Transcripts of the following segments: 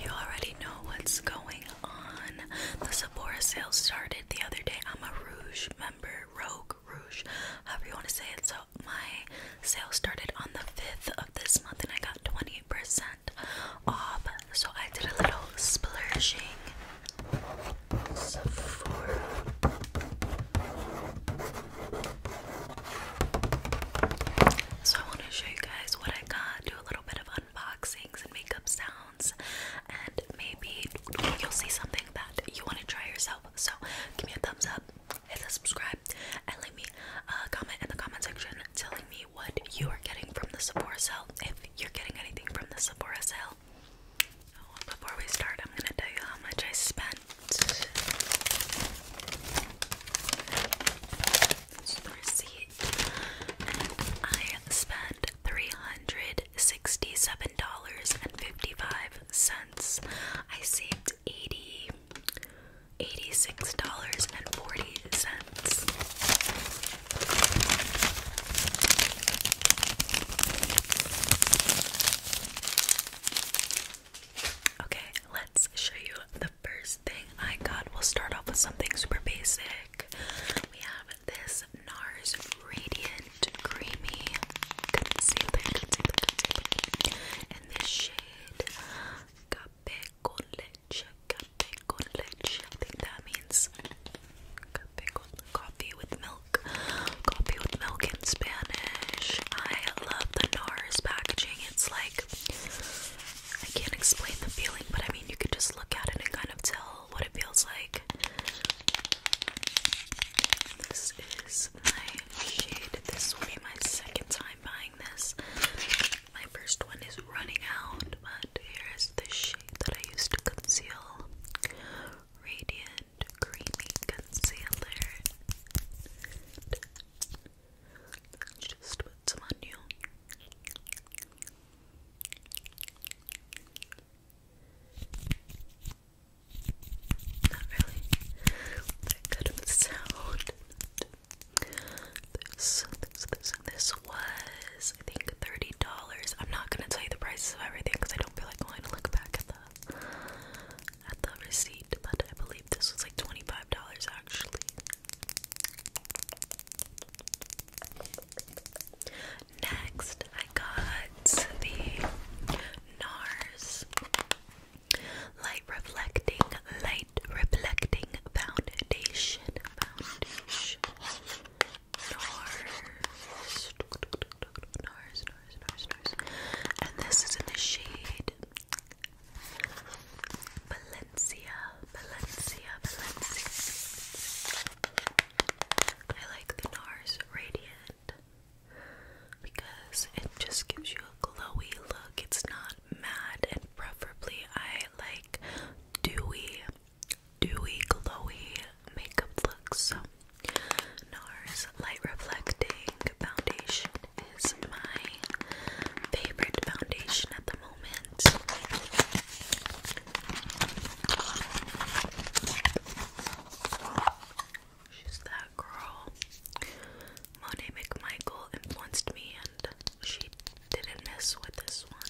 You already know what's going on. The Sephora sale started the other day. I'm a Rouge member, Rogue Rouge, however you want to say it. So, my sale started on the 5th of this month and I got 20% off. So, I did a little splurging. So I want to show you guys what I got, do a little bit of unboxings and makeup sounds, and maybe you'll see something that you want to try yourself. So give me a thumbs up, hit the subscribe, and leave me a comment in the comment section telling me what you are getting from the Sephora sale, if you're getting anything from the Sephora sale. Oh, before we start, I'm gonna tell you how much I spent receipt. I spent three hundred sixty-seven dollars and fifty-five cents. I saved eighty eighty-six dollars and forty cents. Okay, let's show you the first thing I got. We'll start off with something super basic. We have this NARS Radiant Creamy Concealer, Concealer, this shade, Cape con Leche, Cape con Leche. I think that means coffee with milk. Coffee with milk in Spanish. I love the NARS packaging. It's like I can't explain the feeling, but I mean, you can just look at it and kind of tell what it feels like. This is my shade. This will be my second time buying this. My first one is running out, but here is the shade that I used to conceal Radiant Creamy Concealer. Just put some on you. Not really that good of sound. This, was, I think, $30. I'm not gonna tell you the prices of everything because I don't feel like going to look back at the at the receipt, but I believe this was like $25 actually. Next, I got the NARS Light Reflecting, Light Reflecting Foundation. Foundation. NARS. NARS, NARS, NARS, And this is in the shade Valencia, Valencia, Valencia. I like the NARS Radiant because it just gives you a glowy look. It's not matte, and preferably, I like dewy, dewy, glowy makeup looks. NARS Light Reflecting Foundation is my favorite foundation at the moment. She's that girl. Monet McMichael influenced me, and she didn't miss with this one.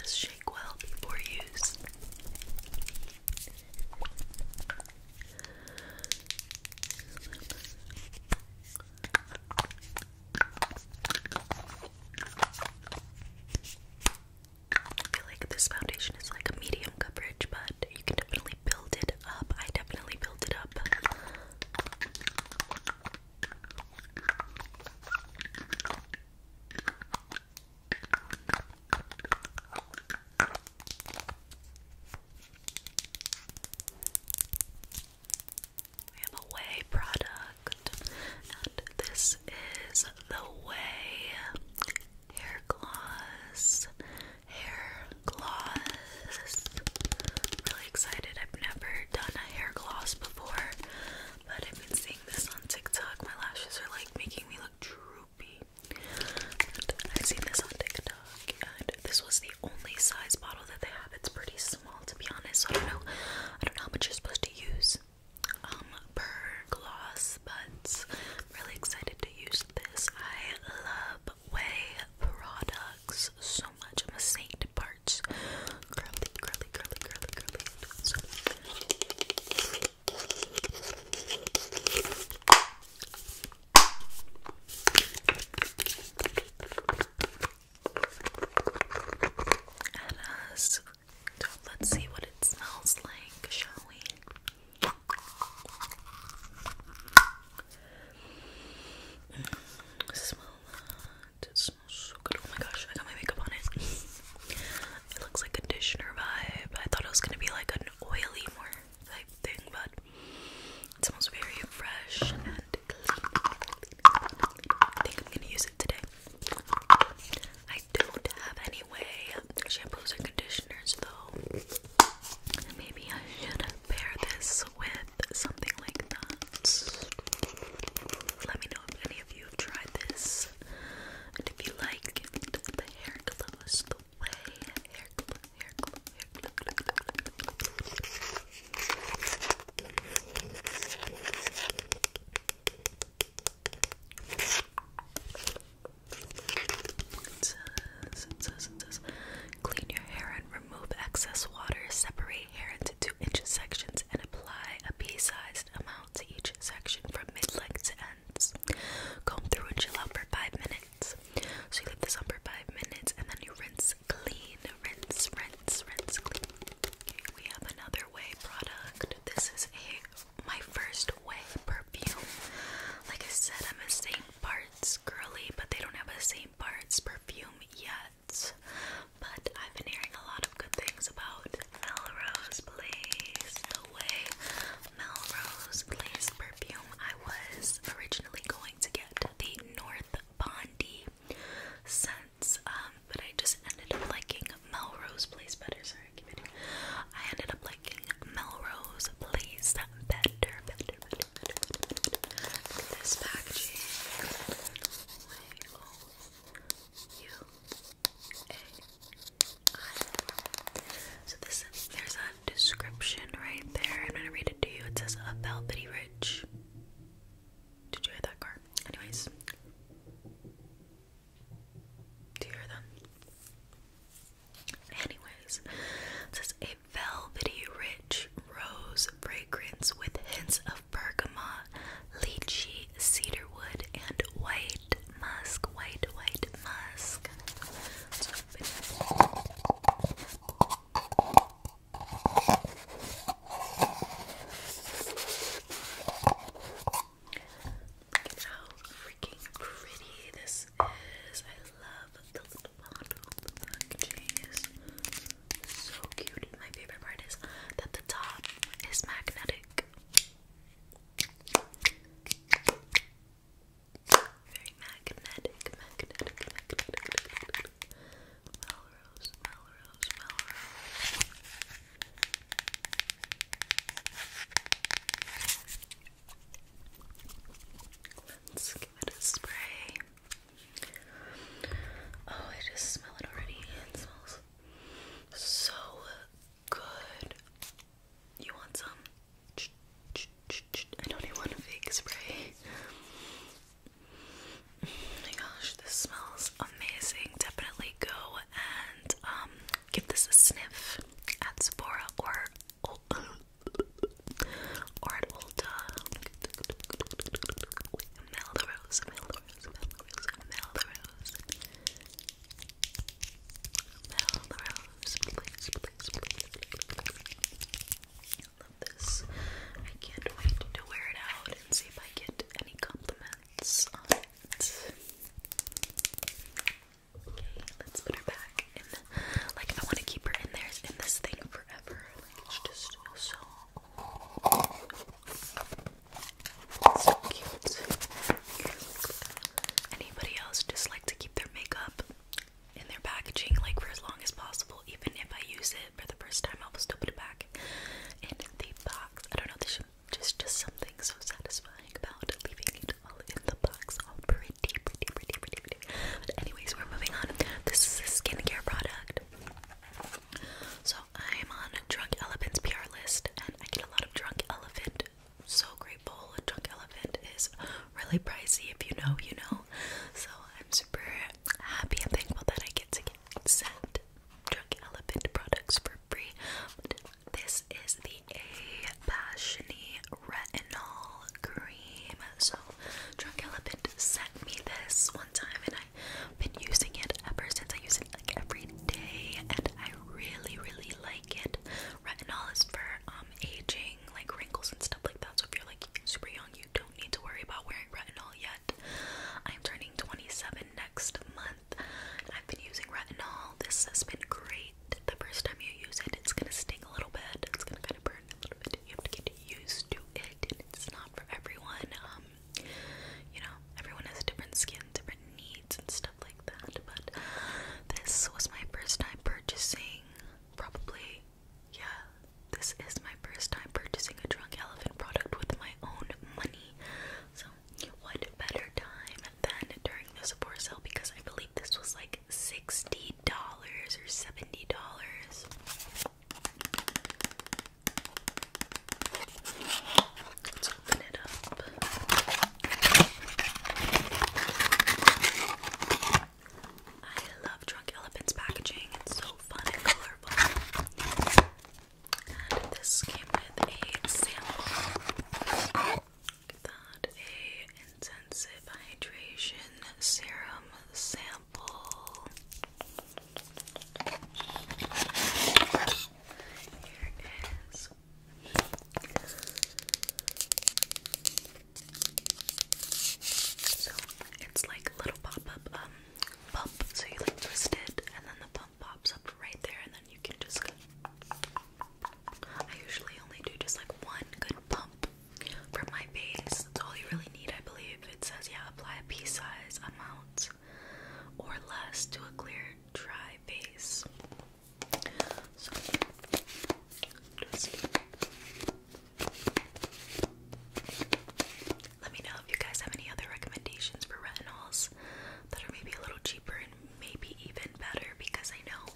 This shake before use. I feel like this foundation is like a medium coverage, but you can definitely build it up. I definitely build it up. We have a Way product, and this is the Way Hair Gloss. Hair gloss. Really excited. I've never done a hair gloss before, but I've been seeing this on TikTok. My lashes are like making me look droopy i seen this on TikTok, and this was the only size bottle that they have. It's pretty small, to be honest. So I don't know. I don't know how much you're supposed to use um, per gloss, but I'm really excited to use this. I love Way products so much. I'm a saint. Parts let's see what it smells like, shall we? Mm, smell that. It smells so good. Oh my gosh, I got my makeup on it. It looks like conditioner vibe. I thought it was gonna be like an oily more type thing, but it smells very fresh and clean. I think I'm gonna use it today. I don't have any way shampoos and conditioners though. Maybe I should pair this with something like that. Let me know any of you tried this. And if you like the hair glows the way hair glow, hair glow, hair glow, glow, glow, It says, it says, it says, clean your hair and remove excess water. Separate hair into two inch sections and apply a pea sized amount to each section from mid length to ends. through and chill out for five minutes. So you leave this on for five minutes and then you rinse clean. Rinse, rinse, rinse clean. Okay, we have another way product. This is a my first way perfume. Like I said, I'm a St. Bart's girly, but they don't have a St. Bart's perfume yet. But I've been hearing a lot good things about Melrose Place. The way Melrose Place perfume, I was originally going to get the North Bondi sense, um, but I just ended up liking Melrose Place better. Sorry, I ended up liking Melrose Place better, This packaging. So this there's a description right there. I'm gonna read it to you. It says a velvety rich. Did you hear that car? Anyways. Do you hear that? Anyways. It says a velvety rich rose fragrance with hints of bergamot, lychee, cedarwood, and white musk. White, white musk. Look at how freaking pretty this is. I love the little bottle. The so cute. My favorite part is that the top is magnetic. Very magnetic, magnetic, magnetic. Melrose, Melrose, Melrose. Let's give it a spray. Oh, I just smell it already. It smells so good. You want some? I don't even want a fake spray. Oh my gosh, this smells amazing. Definitely go and um, give this a sniff at Sephora or or at Ulta. Melrose, Melrose, Melrose, Melrose. I love this. I can't wait to wear it out and see if I get any compliments Okay, let's put her back in. Like, I want to keep her in there in this thing forever. just so. So cute. Anybody else just like to keep their makeup in their packaging like for as long as possible? Even if I use it for the first time, I'll still put it back in the box. I don't know, there's just just something so satisfying about leaving it all in the box, all pretty, pretty, pretty, pretty, pretty. But anyways, we're moving on. This is a skincare product. So I'm on Drunk Elephant's PR list list and I get a lot of drunk elephant. So grateful. drunk elephant is really pricey if you know, you know. So I'm super happy and thankful that I get to get sent drunk elephant products for free. This is the A Passiony Retinol Cream. So Drunk Elephant sent me this one time and I've been using it ever since I used it like every day and I really really like it. Retinol is for um aging, like wrinkles and stuff like that. So if you're like super young, you don't need to worry about wearing retinol yet. I'm turning 27 next month. I've been using retinol. This has been great. The first time you use it, it's gonna sting a little bit. It's gonna kind of burn a little bit. You have to get used to it, and it's not for everyone. Um, um, you know, everyone has different skin, different needs, and stuff like that. But this was my first time purchasing, probably, yeah, this is my first time purchasing a Drunk Elephant product with my own money. So, what better time than during this for sale because I believe this was like $60 or $70. Let's open it up. I love Drunk Elephant's packaging. It's so fun and colorful. this came with a sample. That a intensive hydration serum sample so it's like a little pop-up um, pump. So you like twist it and then the pump pops up right there and then you can just I usually only do just like one good pump for my base. That's all you really need, I believe. It says yeah, apply a pea size amount or less to a clear, dry base. let me know if you guys have any other recommendations for retinols that are maybe a little cheaper and maybe even better because I know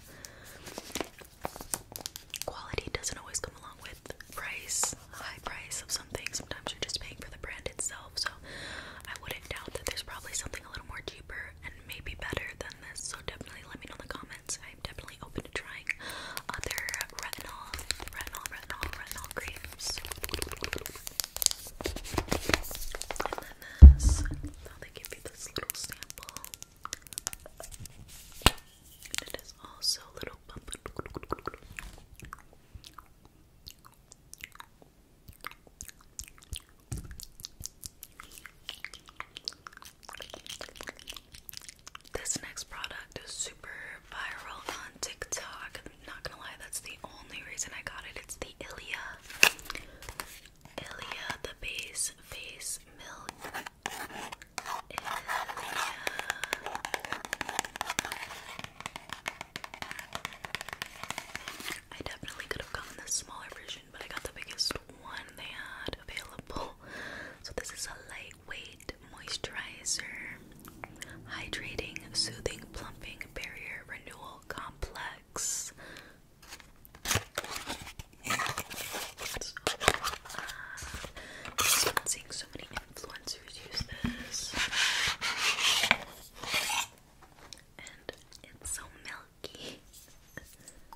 quality doesn't always come along with price, high price of something. Sometimes you're just paying for the brand itself so I wouldn't doubt that there's probably something a little more cheaper and maybe better than this. So definitely let me know in the comments. I'm definitely open to trying other retinol, retinol, retinol, retinol creams. And then this. Oh, they give you this little sample. And it is also little bump. This next product is super viral on TikTok. I'm not gonna lie, that's the only reason I got it. It's the Ilia. Ilia, the base face milk. I definitely could have gotten the smaller version, but I got the biggest one they had available. So, this is a lightweight moisturizer, hydrating, soothing, plumping, barrier renewal complex. Uh, seeing so many influencers use this and it's so milky.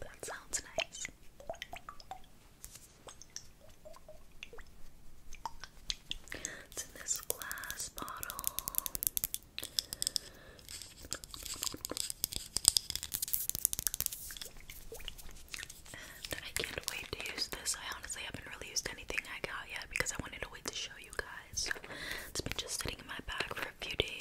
that sounds nice. It's in this glass bottle and I can't wait to use this. I honestly haven't really used anything I got yet because I wanted to wait to show you guys. It's been just sitting in my bag for a few days.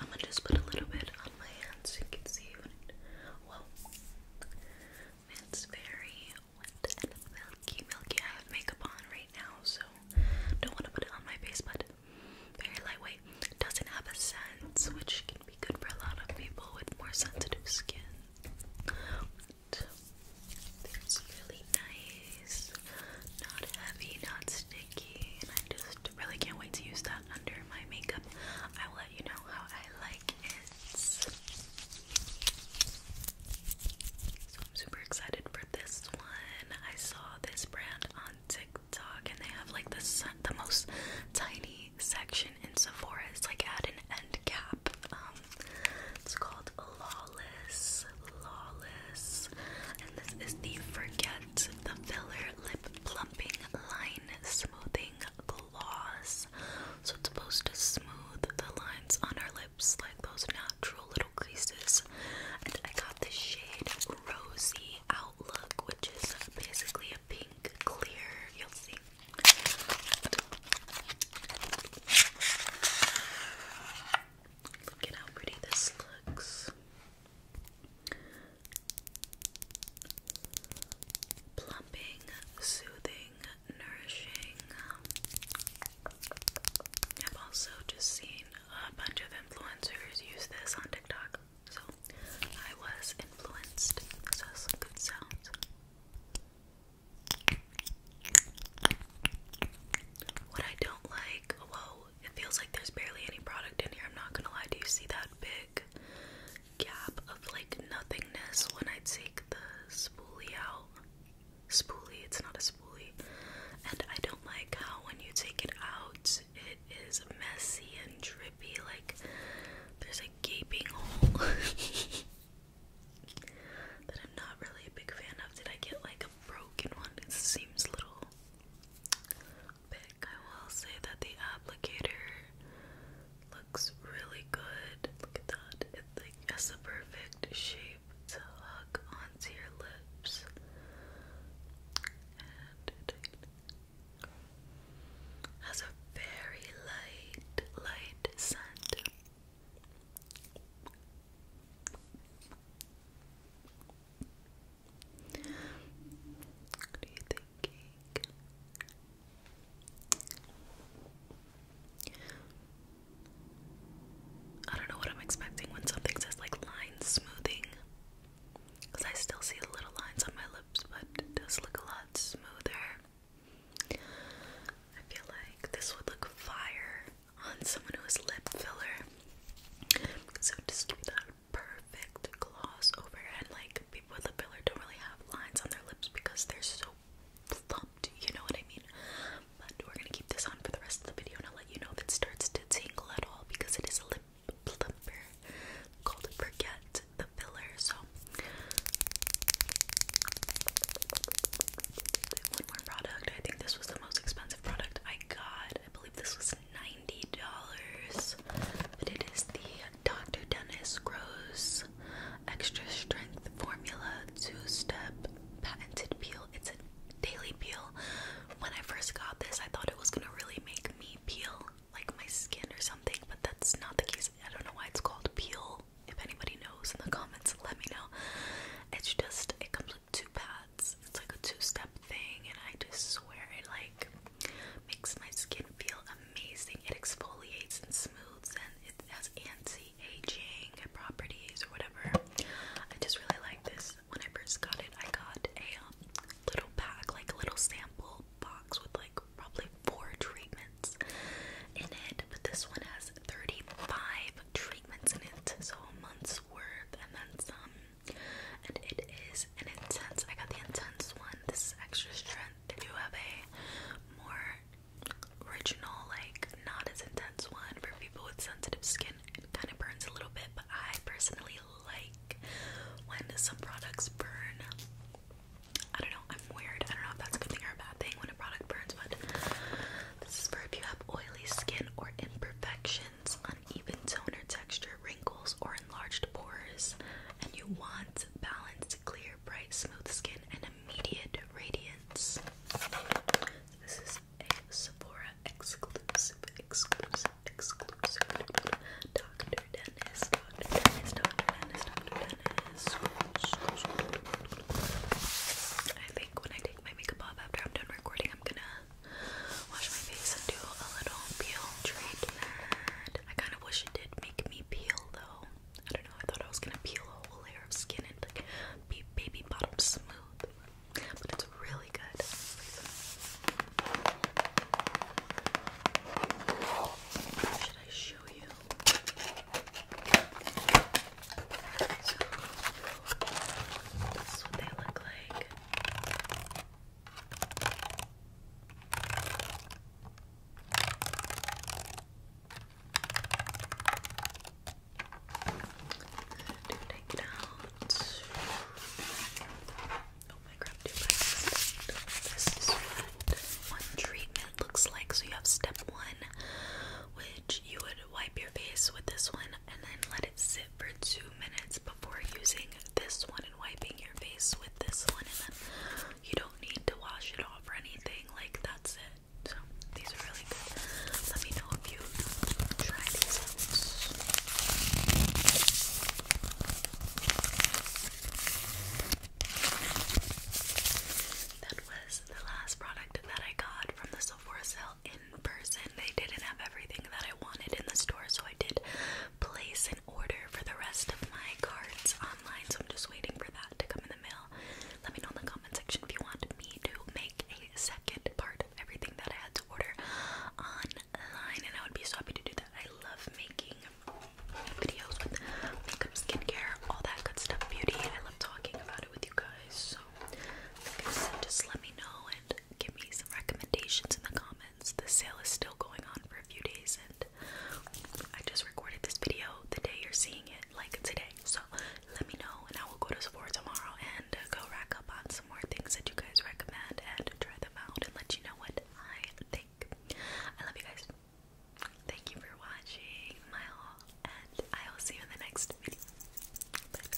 I'm gonna just put a little bit on my hands so you can see when Whoa. It's very wet and milky, milky. I have makeup on right now, so don't want to put it on my face, but very lightweight. Doesn't have a scent, which can be good for a lot of people with more sensitive skin. it's really nice, not heavy, not sticky, and I just really can't wait to use that under my makeup. I will let you know how I like it. So I'm super excited for this one. I saw this brand on TikTok and they have like the the most tiny section in Sephora. It's like at an end cap. Um, it's called Lawless. Lawless. And this is the Forget the Filler Lip Plump line smoothing gloss. So it's supposed to smooth the lines on our lips like those natural little creases. And I got the shade Rosy Outlook, which is basically a pink clear. You'll see. Look at how pretty this looks. Plumping, soothing, nourishing. I've also just seen a bunch of influencers use this on TikTok, so I was influenced. So some good sounds. What I don't like, whoa, it feels like there's barely any product in here. I'm not gonna lie. Do you see that? big gap of like nothingness when I take the spoolie out. Spoolie, it's not a spoolie. And I don't like how when you take it out, it is messy and drippy, like there's a gaping hole that I'm not really a big fan of. Did I get like a broken one? It seems little I will say that the applicator looks really good. Look at that. It has the perfect shape to hug onto your lips. And it has a very light, light scent. What are you thinking? I don't know what I'm expecting when something says like line smoothing. Because I still see the little lines on my lips, but does look a lot smoother. I feel like this would look fire on someone who is lip filler. So just keep that perfect gloss overhead. Like people with lip filler don't really have lines on their lips because they're so plumped, you know what I mean? But we're gonna keep this on for the rest of the video and I'll let you know if it starts to tingle at all because it is a lip plumper called Forget the Filler. So one more product. I think this was the most expensive product I got. I believe this was $90, but it is the Dr. Dennis Gross Extra Strength Formula Two-Step Patented Peel. It's a daily peel. When I first got this, I thought it was gonna really make me peel like my skin or something, but that's not the case. I don't know why it's called peel. If anybody knows in the comments, let me know. It's just it comes with two pads. It's like a two-step step thing, and I just swear it like makes my skin feel amazing. It exfoliates and smooths, and it has anti-aging properties or whatever. I just really like this. When I first got it, I got a um, little pack, like a little sample box with like probably four treatments in it, but this one has 35 treatments in it, so a month's worth and then some and it is intense. I got the intense one. This is extra strength. If you have a more original, like not as intense one for people with sensitive skin, it kind of burns a little bit. But I personally like when some products burn. I don't know. I'm weird. I don't know if that's a good thing or a bad thing when a product burns, but this is for if you have oily skin or imperfections even tone or texture, wrinkles, or enlarged pores, and you want balanced, clear, bright, smooth skin and immediate radiance. This is a Sephora exclusive, exclusive, exclusive. Dr. Dennis, Dr. Dennis, Dr. Dennis, Dr. Dennis. I think when I take my makeup off after I'm done recording, I'm gonna wash my face and do a little peel treatment. I kind of wish it did make me peel though. I don't know, I thought I was gonna peel a whole layer of skin and be baby bottom smooth. But it's really good. Should I show you? So, this is what they look like do take it Oh my crap, do my This is what one treatment looks like. So you have step one, which you would wipe your face with this one and then let it sit for two minutes before using this one and wiping your face with this one, and then you don't need to wash it off or anything. Like that's it. So these are really good. Let me know if you try these out. That was the last product that I got from the Sephora sale in person. They didn't have everything that I wanted in the store, so I did place an order for the rest of my cards online, so I'm just waiting for that to come in the mail. Let me know in the comment section if you want me to make a second part of everything that I had to order online, and I would be so happy to do that. I love making videos with makeup, skincare, all that good stuff, beauty. I love talking about it with you guys. So, just let me know and give me some recommendations in the comments the sale is still going on for a few days, and I just recorded this video the day you're seeing it, like today. So let me know, and I will go to Sephora tomorrow and uh, go rack up on some more things that you guys recommend and try them out and let you know what I think. I love you guys. Thank you for watching my haul, and I will see you in the next video. Bye.